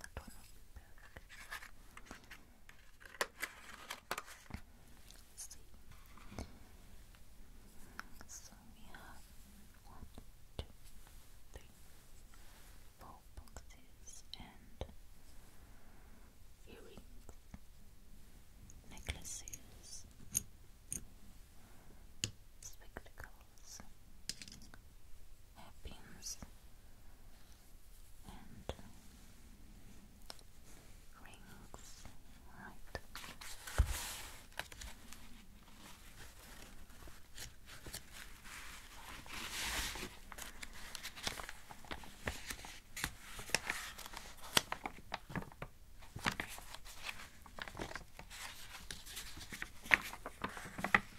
That one So we have one, two, three, four boxes and earrings, necklaces, spectacles, happens and rings, right?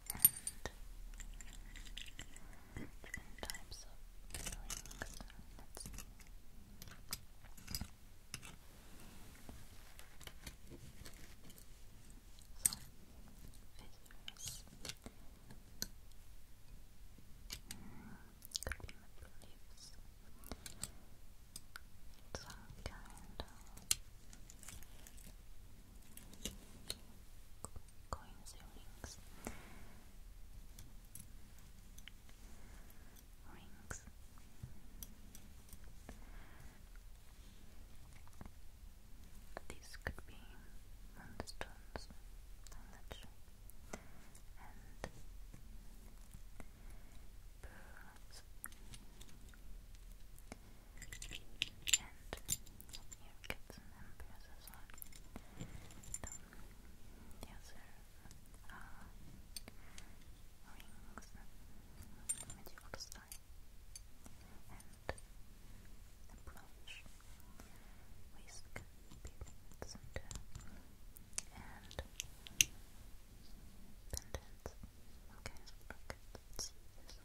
and different types of feelings. Let's could be beliefs, some kind of coins, earrings, rings. These could be moonstones. I'm not sure. And pearls. And you get some embarrasses on them. Yes, sir. rings, medieval style, and a brooch, waist pigments, and, pendants. Okay, let's see this on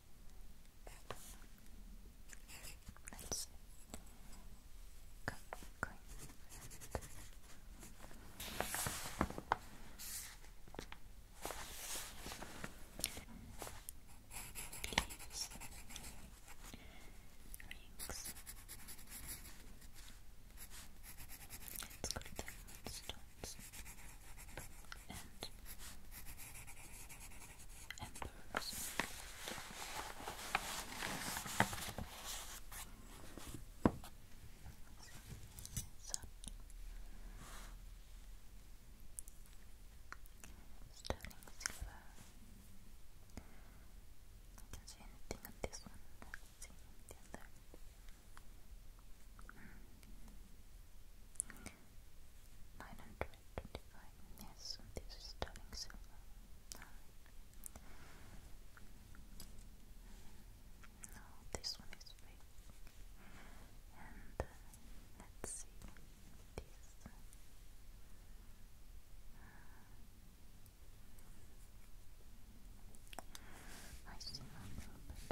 Let's go clean Leaves. Rings. Let's go to the stones and and sterling silver. I can see anything on this one. Let's see the other. Nine hundred twenty-five. Yes, this is sterling silver. No, this one is big. And uh, let's see this. Uh, I see nothing but.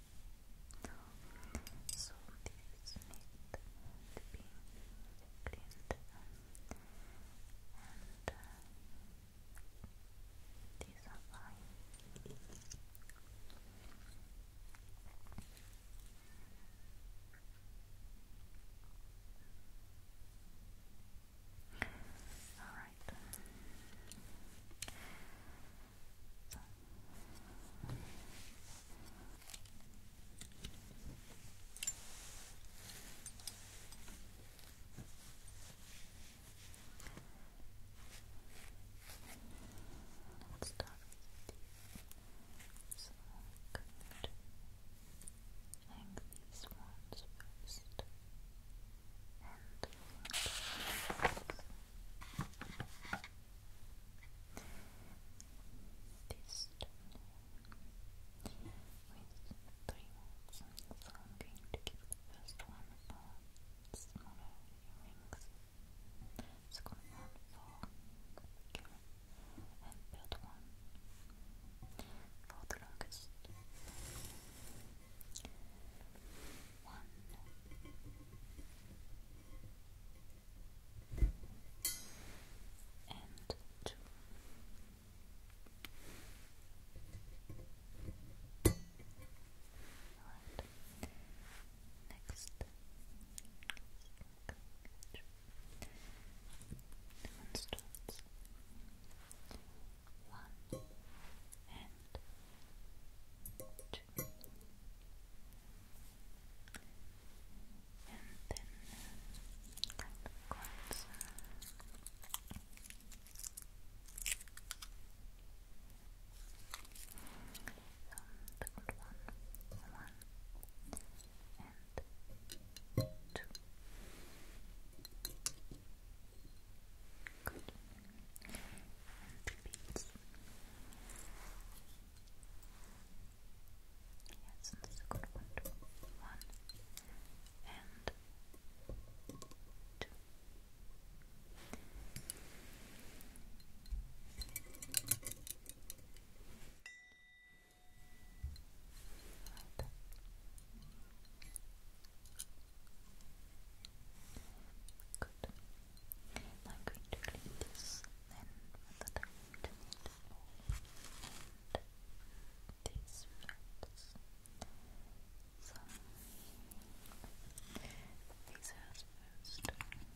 So these need to be cleaned and uh, these are fine right. So. Let's start these. So I these ones first. This with three words, so I'm going to give the first one for smaller earrings, second one for bigger, and third one for the longest. One. And two. Right. Next. Demonstrates one and two. And then uh, So one, one and two. Good. Yes, and that's a one. One and two. Right. Good. I'm going to clean this then with the diamond and these flats. So, these hairs first. And the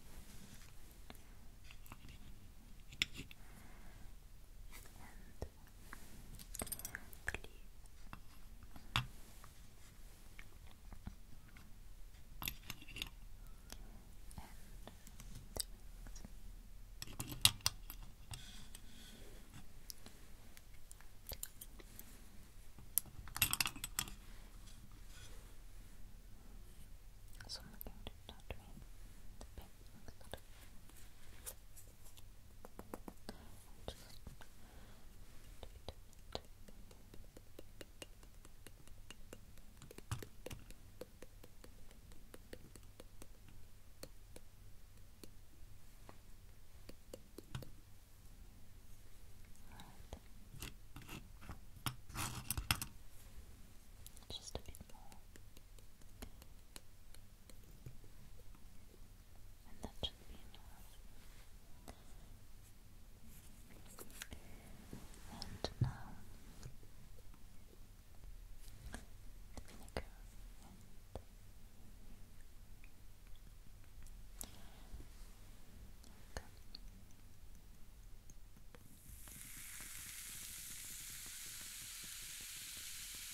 so I'm looking to not the paint just a bit more and that should be enough. And now the vinegar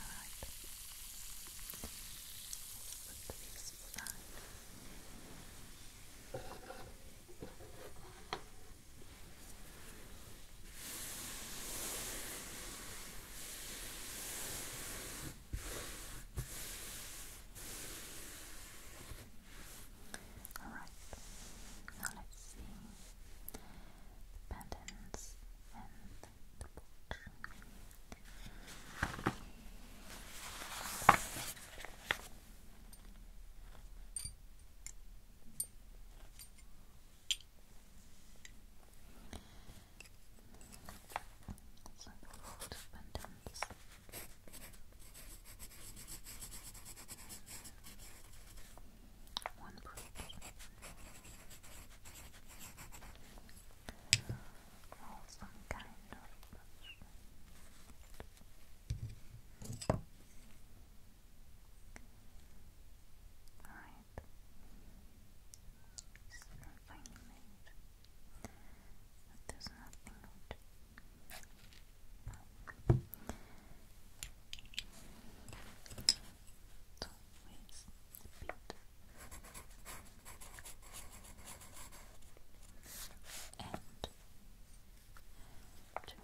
Alright. Let's put these aside. All right, now let's see the patterns and the porch. So the abundance one brush. Or some kind of Alright. finally there's nothing to it's always the And to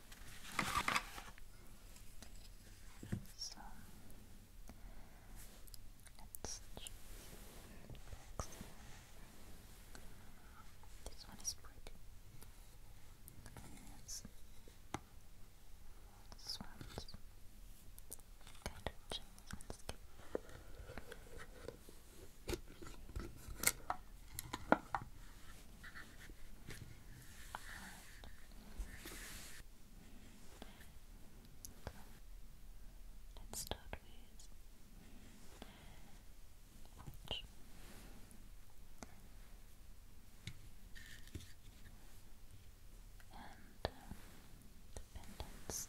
so let's check This one is pretty. This one's kind of chill Let's start with and uh, dependence.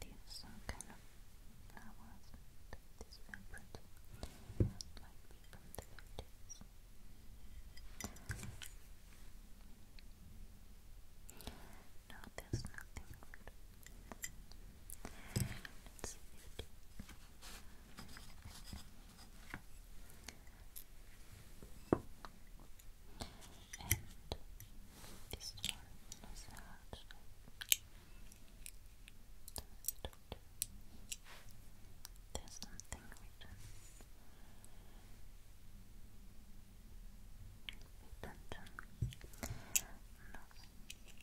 These are kind of flowers, these are very pretty, from the 50s. No, there's nothing good. It's beauty. And this one massage. There's something written. Written. No.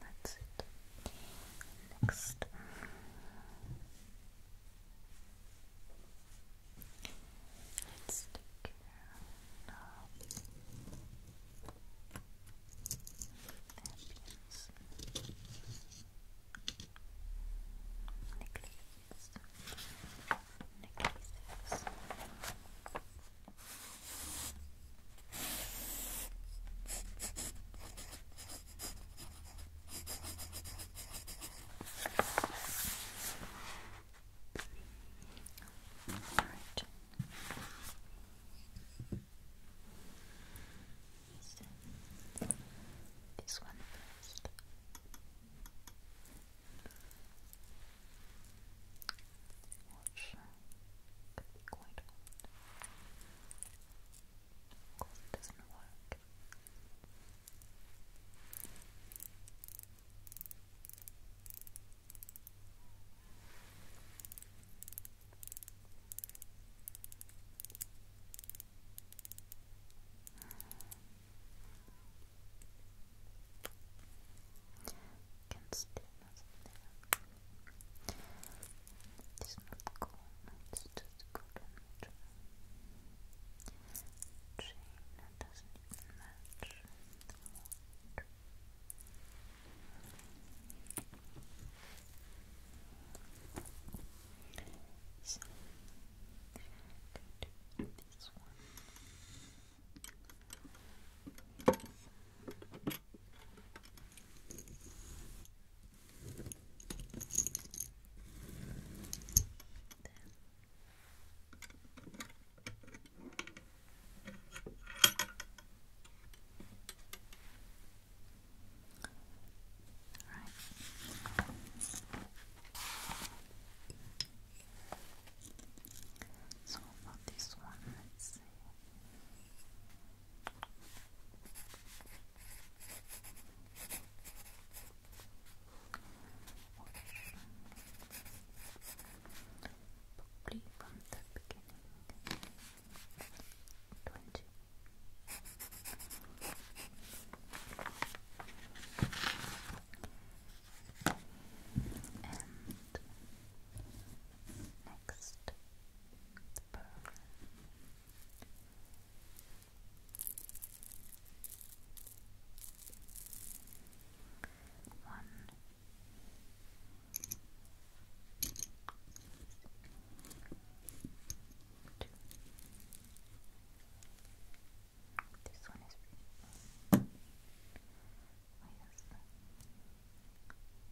That's Next. Let's take care of the necklaces. Necklaces. All right. So, this one first. Watch. Could be quite hot. Of course, it doesn't work. Can still nothing there. It's not cool, it's just good chain doesn't even match the wood. So, i do this one. So for this one, let's see. Probably from the beginning. Twenty. And next Boom. One. Two. This one is pretty. yes.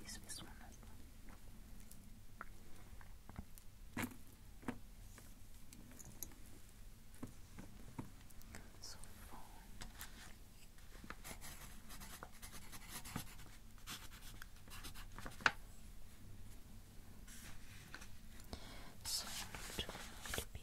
There's this one as well. So far. to be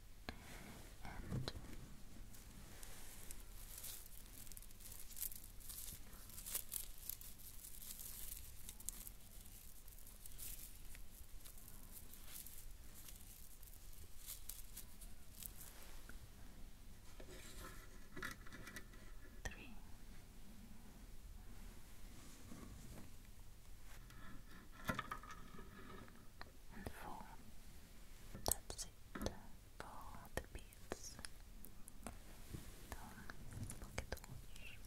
and three. That's it for the beads. The pocket watch.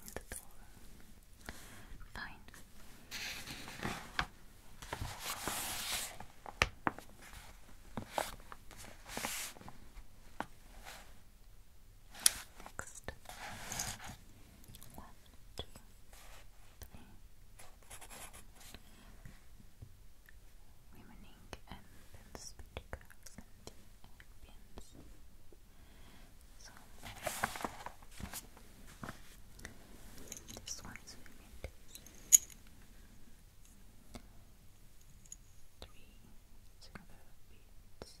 And the door. Fine. Next. One, two, three. Remaining and pins, So this one is remaining. Three silver beads.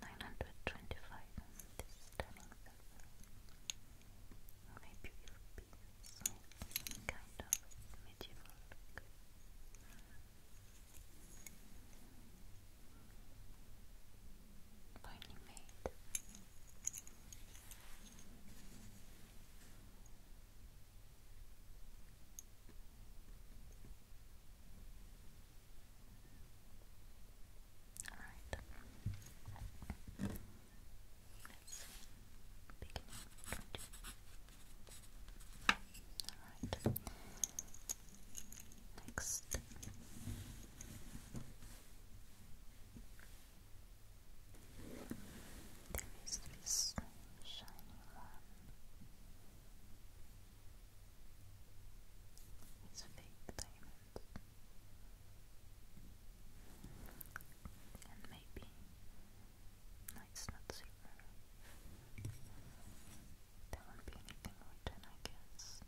925 this stunning maybe it will kind of medieval look made Alright. Let's begin. Alright. Next. There is this shiny one. It's a fake diamond. And maybe no, not silver. There won't be anything written, I guess.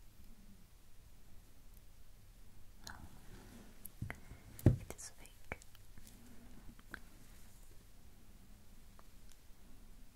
No, it is fake.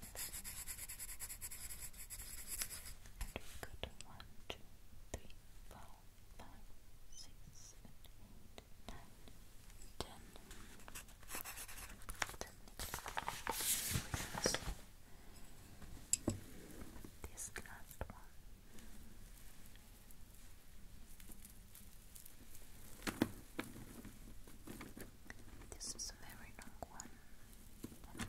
Good. One, two, three, four, five, six, seven, eight, nine, ten. Ten. This last one. This is a very long one.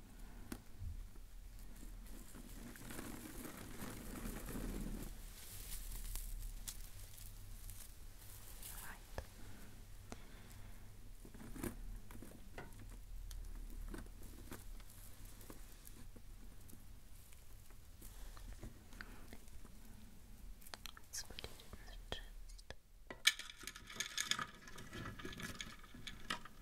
Let's put it in the chest.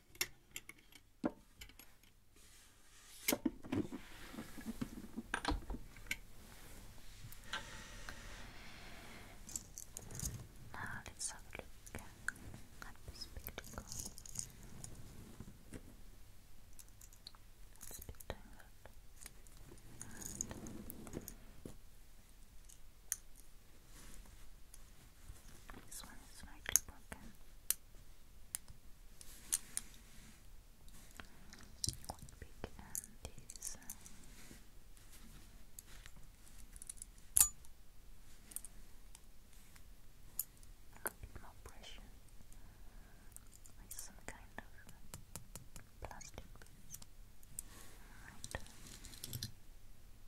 Now let's have a look at the spectacle. It's a bit tangled. And this one is slightly broken. One big and these. A bit more pressure with some kind of plastic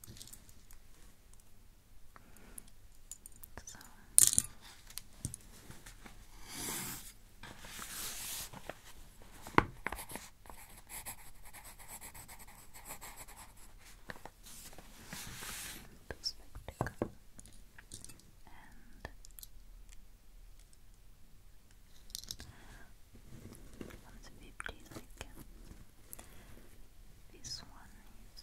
Right. So. This spectacle and one's fifty this one needs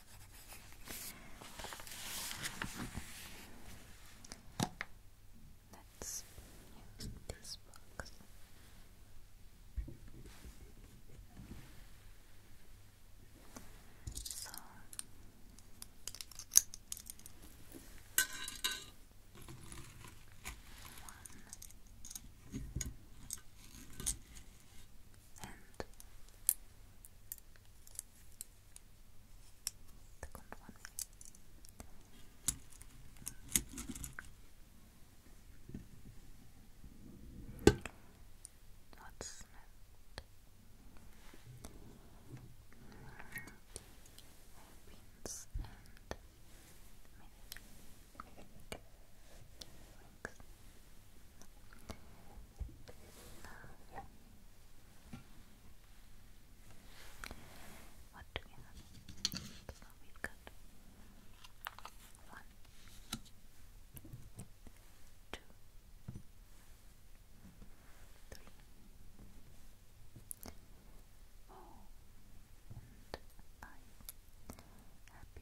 Let's use this box. So one, and the one. What's next? Beans and milk. Wings love. What do we have? So we've got one, two, three, four, and I. Happy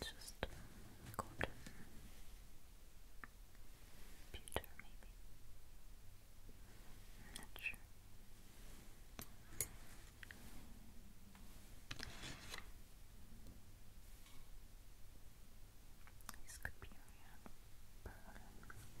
Let's just go to maybe. not sure. This could be around Berlin.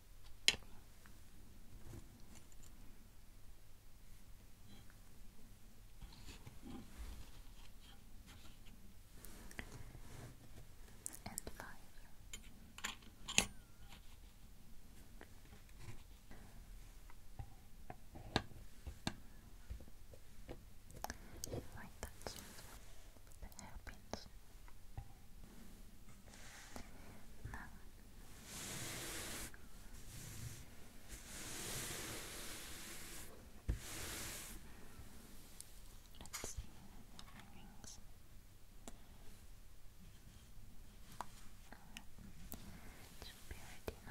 and five. Like that, with the hairpins. No. Let's see earrings. should be ready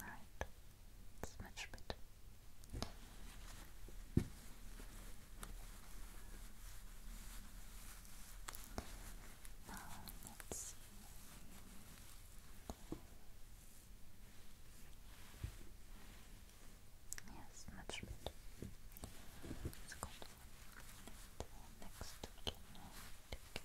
Right, it's much better. Now let's Yes, much better. It's good. Next, we can take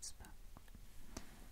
It's about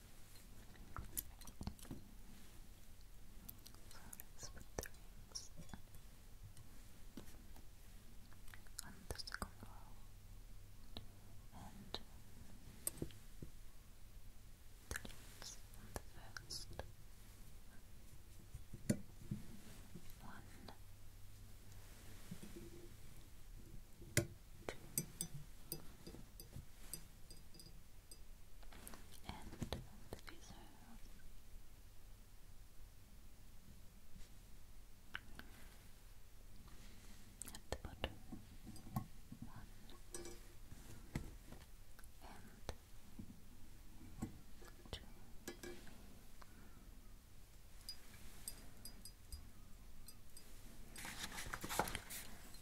Florence with on the second row and the on the first one Two, three, end of the video. At the bottom, and two.